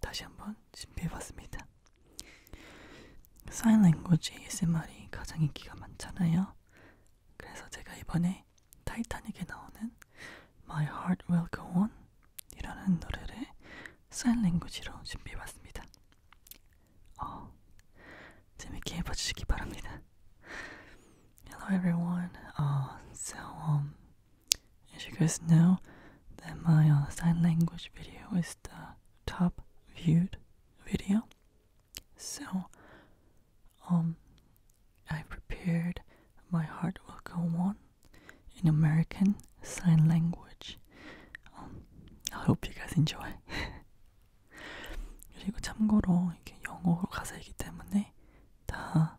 다시 한번 준비해봤습니다. 사인 랭고지 ASMR이 가장 인기가 많잖아요. 그래서 제가 이번에 타이타닉에 나오는 My Heart Will Go On 이라는 노래를 사인 랭고지로 준비해봤습니다. 어, 재밌게 해봐주시기 바랍니다. Hello everyone. Uh, so um, And she goes, No, that my uh, sign language video is the top viewed video. So, um, I prepared My Heart Will Go On in American Sign Language. Um, I hope you guys enjoy. 그리고 참고로 이게 영어로 가사이기 때문에 다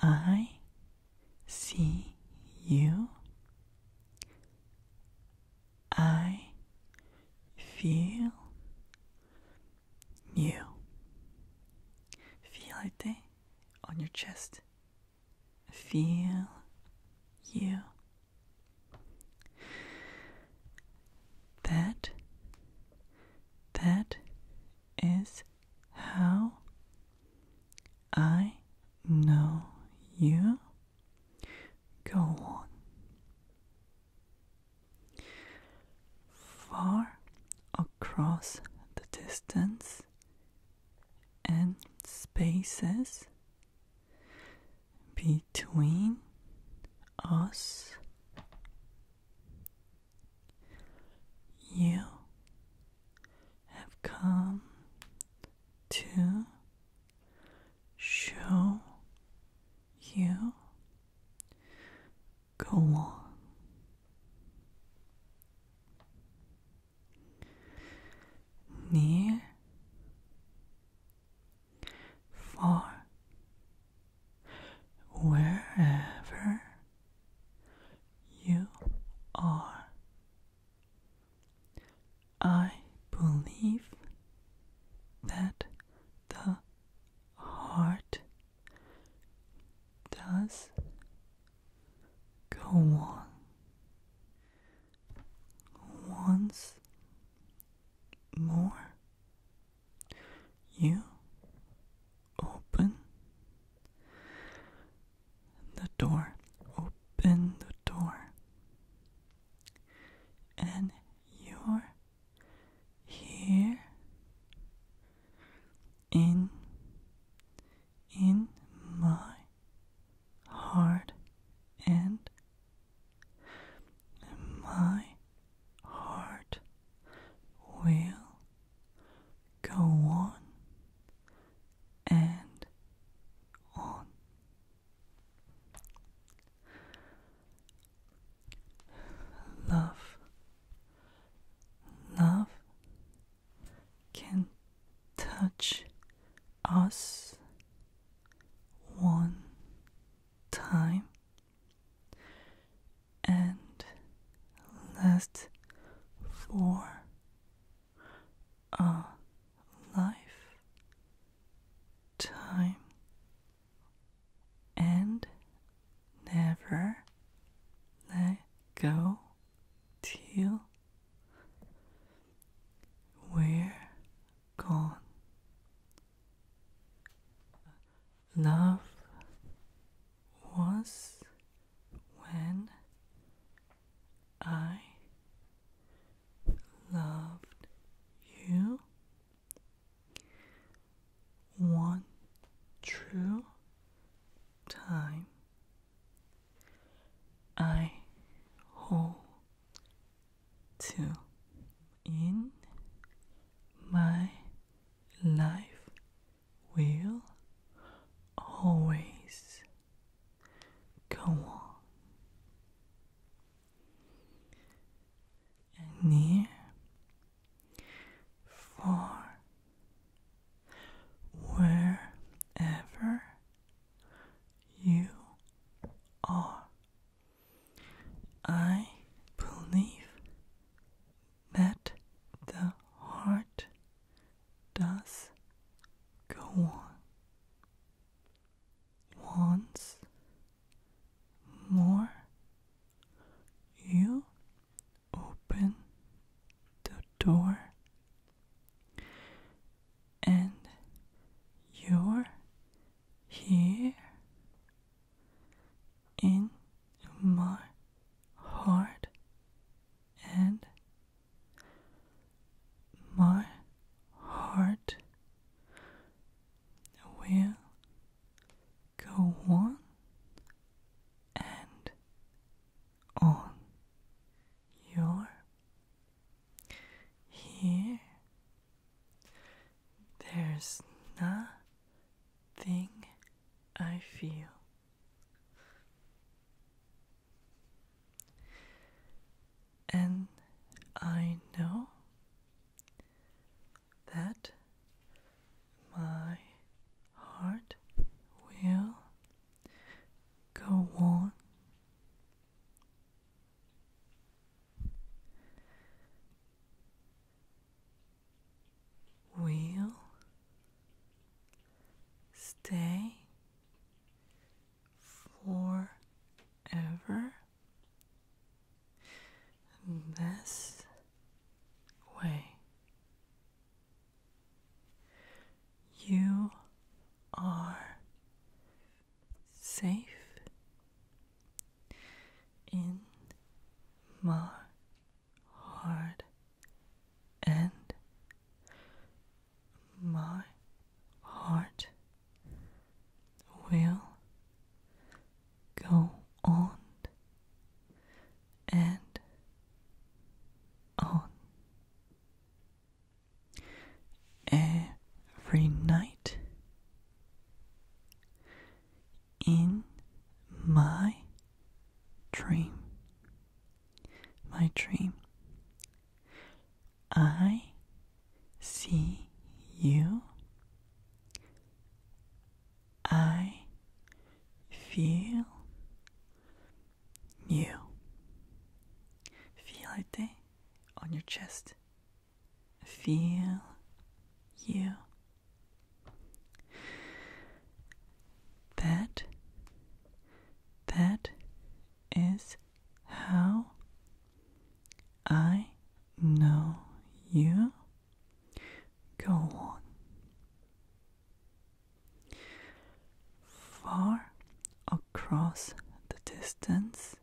I see you. I feel you. Feel it eh? on your chest. Feel you. That, that is how I know you. Go on. Far across the distance and spaces between us you have come to show you. Go on. Near, far, wherever you are. I believe that the heart does go on once more you open the door, open the door, and you're here in in my heart and my heart will go on and on. Love, love can touch us one time and last for a life time and never let go till we're gone love was when I loved you. One true time I hold to in my life will always go on. near, far, wherever you are I believe that the heart does go on once more you open the door and you're here in my heart and my heart will go on and on. You're here there's nothing I feel. And I know that my heart will go on we will stay forever this way. You are safe in my heart and my heart will go on and on every night in my dream. My dream. I see you. I feel you. Feel it on your chest feel you. That that is how I know you. Go on. Far Cross the distance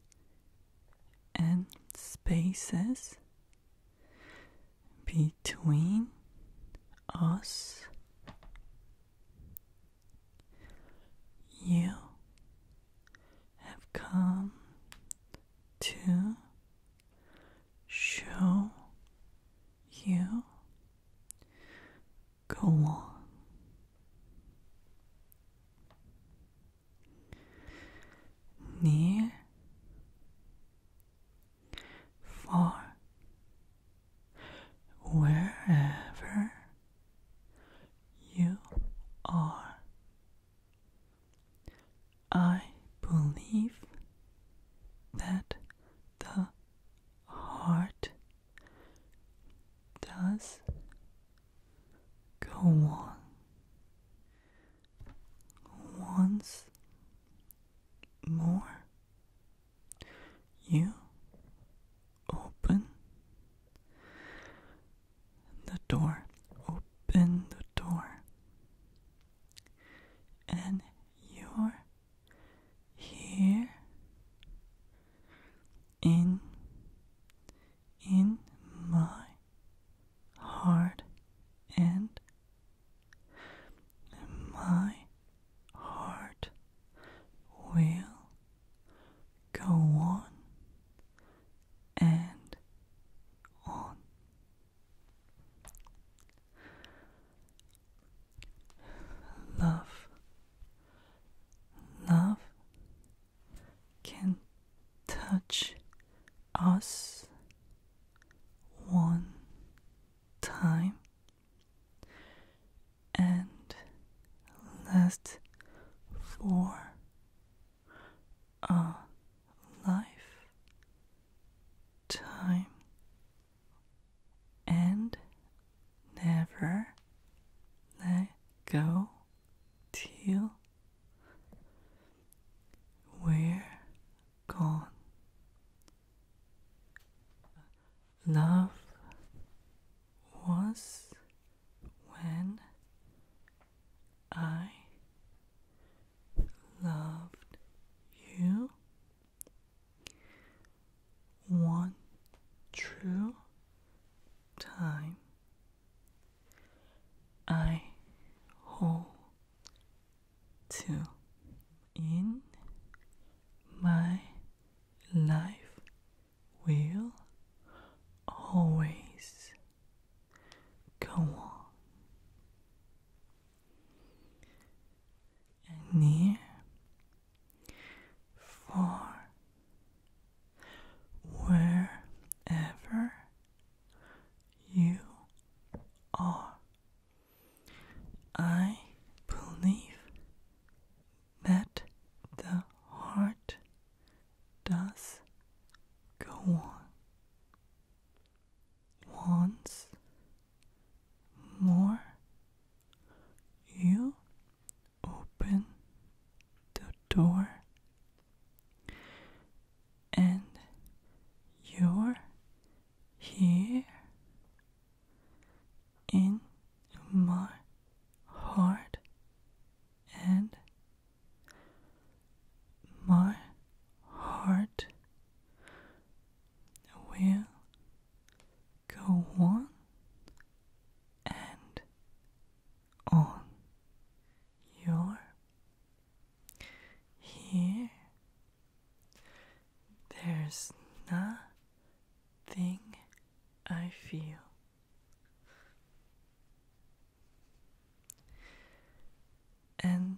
and spaces between us, you have come to show you Go on. Near, far, wherever you are, I believe that the heart does go on once more. You open the door, open the door, and you're here in in my heart and my heart will go on and on love Love can touch us one time and last for a life time and never let go till we're gone. Love was when I loved you one true time I hold to in my life will always go on and near for wherever you are. I believe that the heart does go on. Once more you open the door and you're here in my heart and my heart will go on and on. You're here. There's nothing I feel. And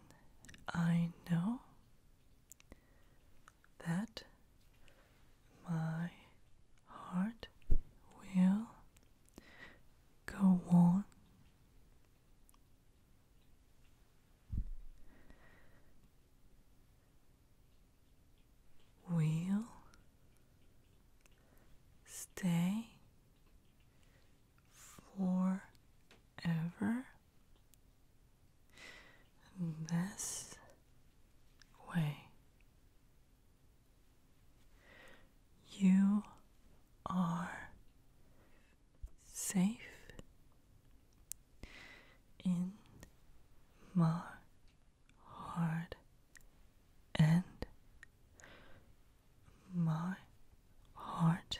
I know that my heart will go on. Will stay forever this way. You are safe in my heart and my heart